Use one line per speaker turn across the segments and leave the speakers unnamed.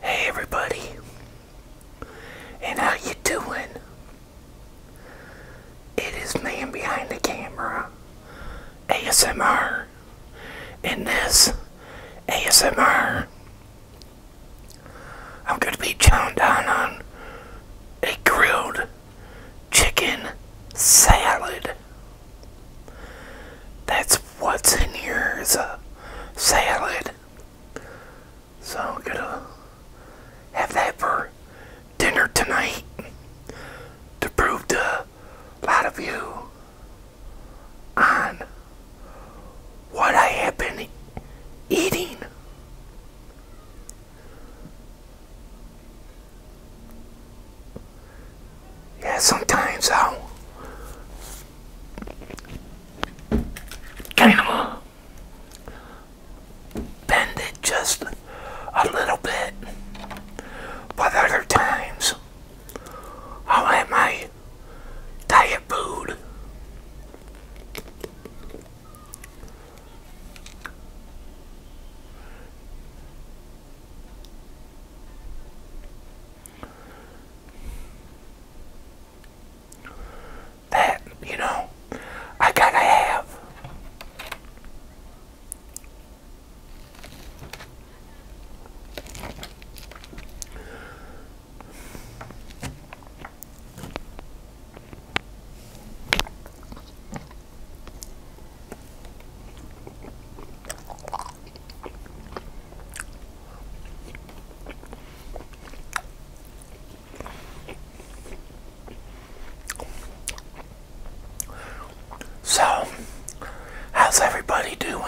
Hey everybody, and how you doing? It is man behind the camera, ASMR, In this ASMR. I'm going to be chowing down on a grilled chicken salad. That's what's in here is a salad. So I'm gonna have that for dinner tonight to prove to a lot of you on what I have been eating. Yeah, sometimes I'll kind bend it just a little bit, but other times I'll have diet food. That, you know, I gotta have. So, how's everybody doing?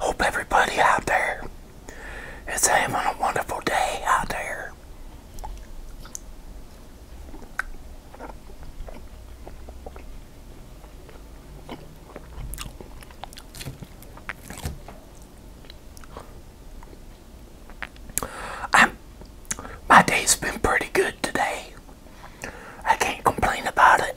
Hope everybody out there is having a wonderful day out there i my day's been pretty good today. I can't complain about it.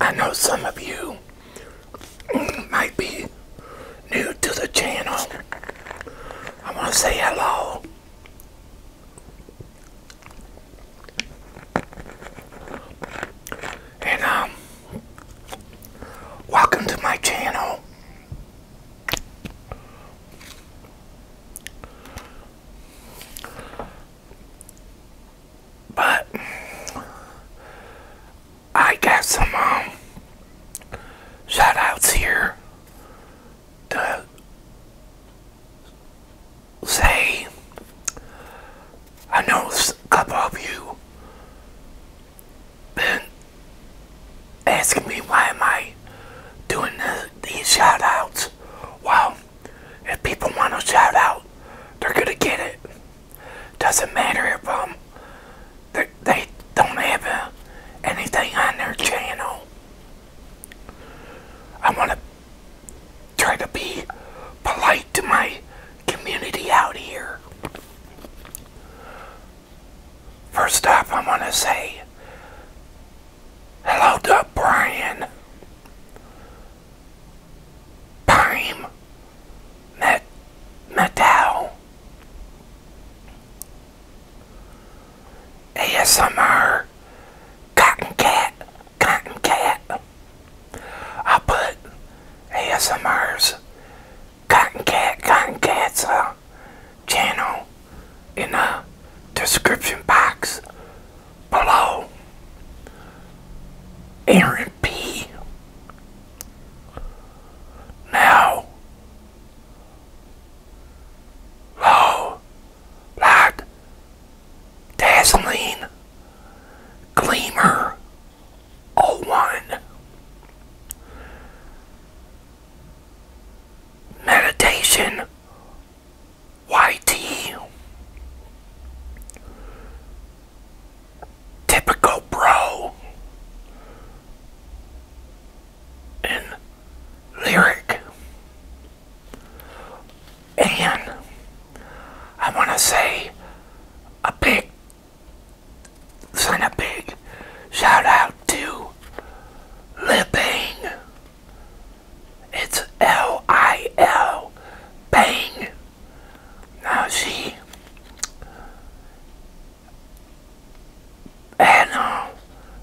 I know some of you might be new to the channel. I want to say hello. And, um, Welcome to my channel. But I got some um, shout outs here to say I know a couple of you been asking me why am I doing these shoutouts? Well, if people want to shout out, they're going to get it. Doesn't matter if um, they, they don't have uh, anything on their channel. I want to try to be polite to my community out here. First up, I want to say hello to Brian. Prime Met Metal ASMR Cotton Cat Cotton Cat i put ASMR's Cotton Cat Cotton Cat's uh, channel in the description box below. Aaron P. Now, low, light, dazzling, gleamer, O oh one. Meditation YT Typical Bro and Lyric and I want to say a big send a big shout out to Libang. It's L I L Bang. Now she and uh,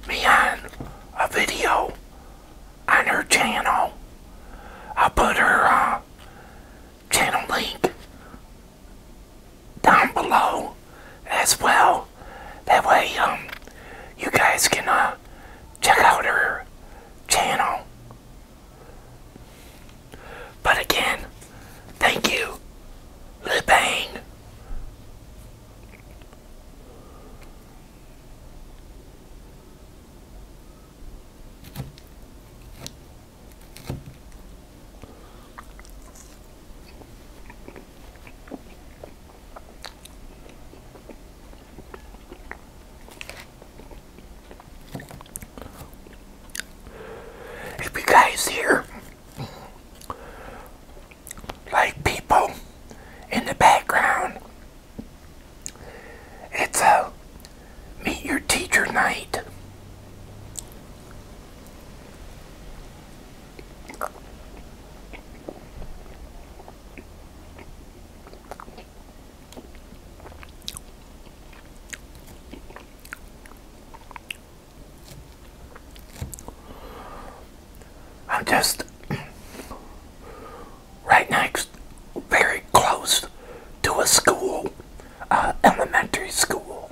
me on a video on her channel. I'll put her uh, channel link down below as well. That way, um, you guys can uh, check out her channel. But again, thank you, Lebang. If you guys hear like people in the background, it's a meet your teacher night. I'm just right next, very close to a school, uh, elementary school.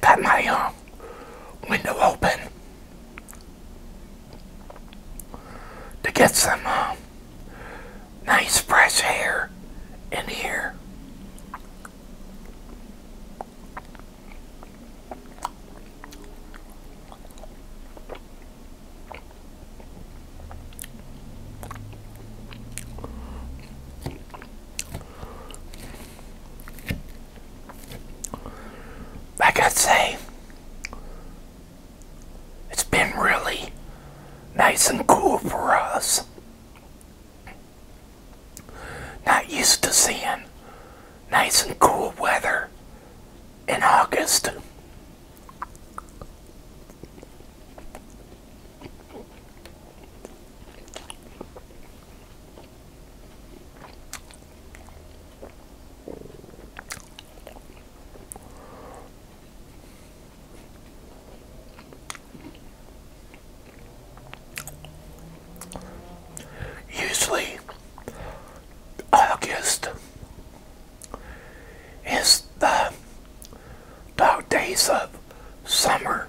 Got my uh, window open to get some uh, nice fresh air in here like I say, it's been really nice and cool for us. Not used to seeing nice and cool weather in August. Usually, August is the dog days of summer.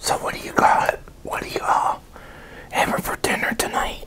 So what do you call it? What do you all uh, having for dinner tonight?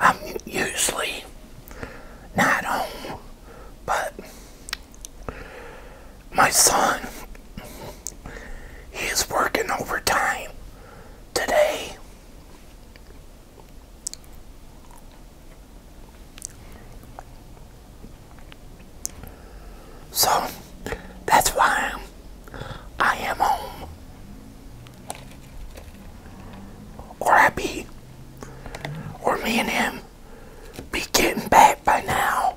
I'm usually not home, but my son, he is working overtime today. So that's why I'm, I am home. Or I be, or me and him be getting back by now.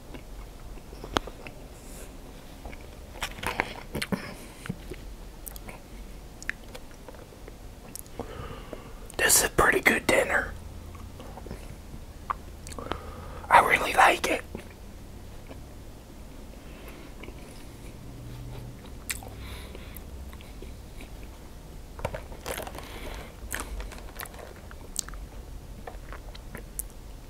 This is a pretty good dinner. I really like it.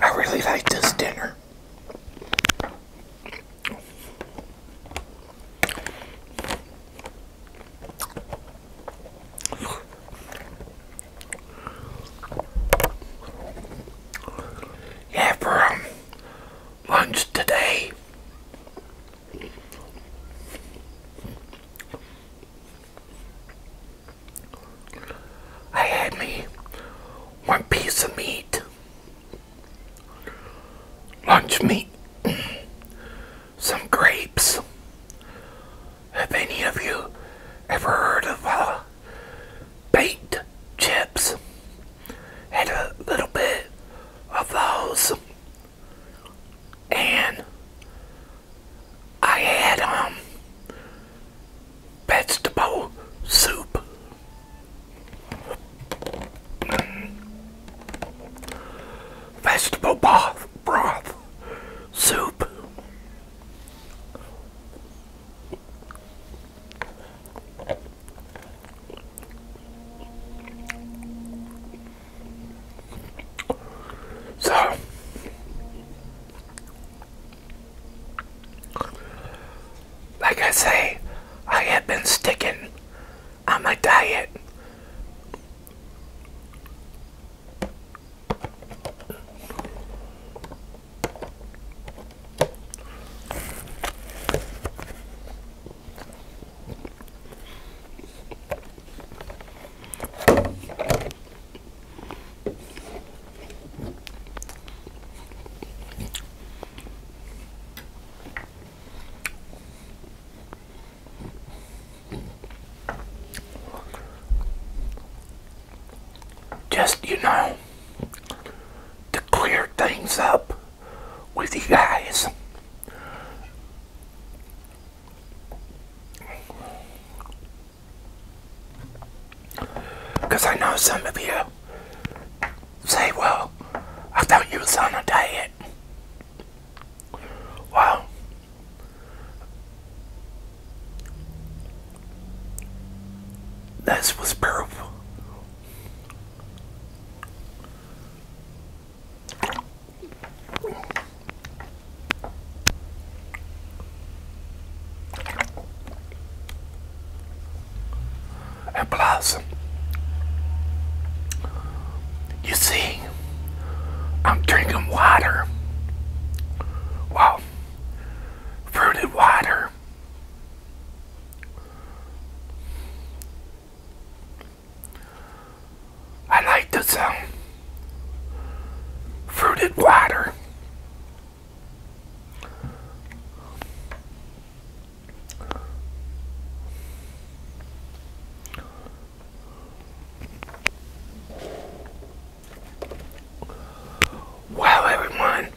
I really like this dinner. Yeah, for lunch today, I had me one piece of meat, lunch meat, some grapes. Have any of you ever heard of uh, baked chips? Had a little bit of those and I had um vegetable soup. vegetable broth, broth soup. So, like I say, I have been sticking on my diet. Just, you know, to clear things up with you guys. Because I know some of you say, well, I thought you were on a diet. Well, this was perfect. And plus, you see, I'm drinking water. Well, fruited water. I like the sound. Fruited water. Well, everyone,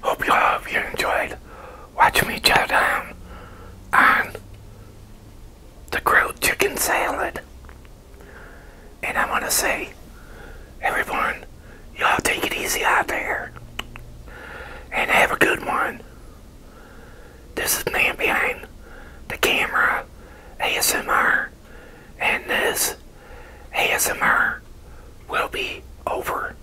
hope you all have you enjoyed watch me chow down on the grilled chicken salad. And I want to say, everyone, y'all take it easy out there. And have a good one. This is Man Behind the Camera ASMR. And this ASMR will be over.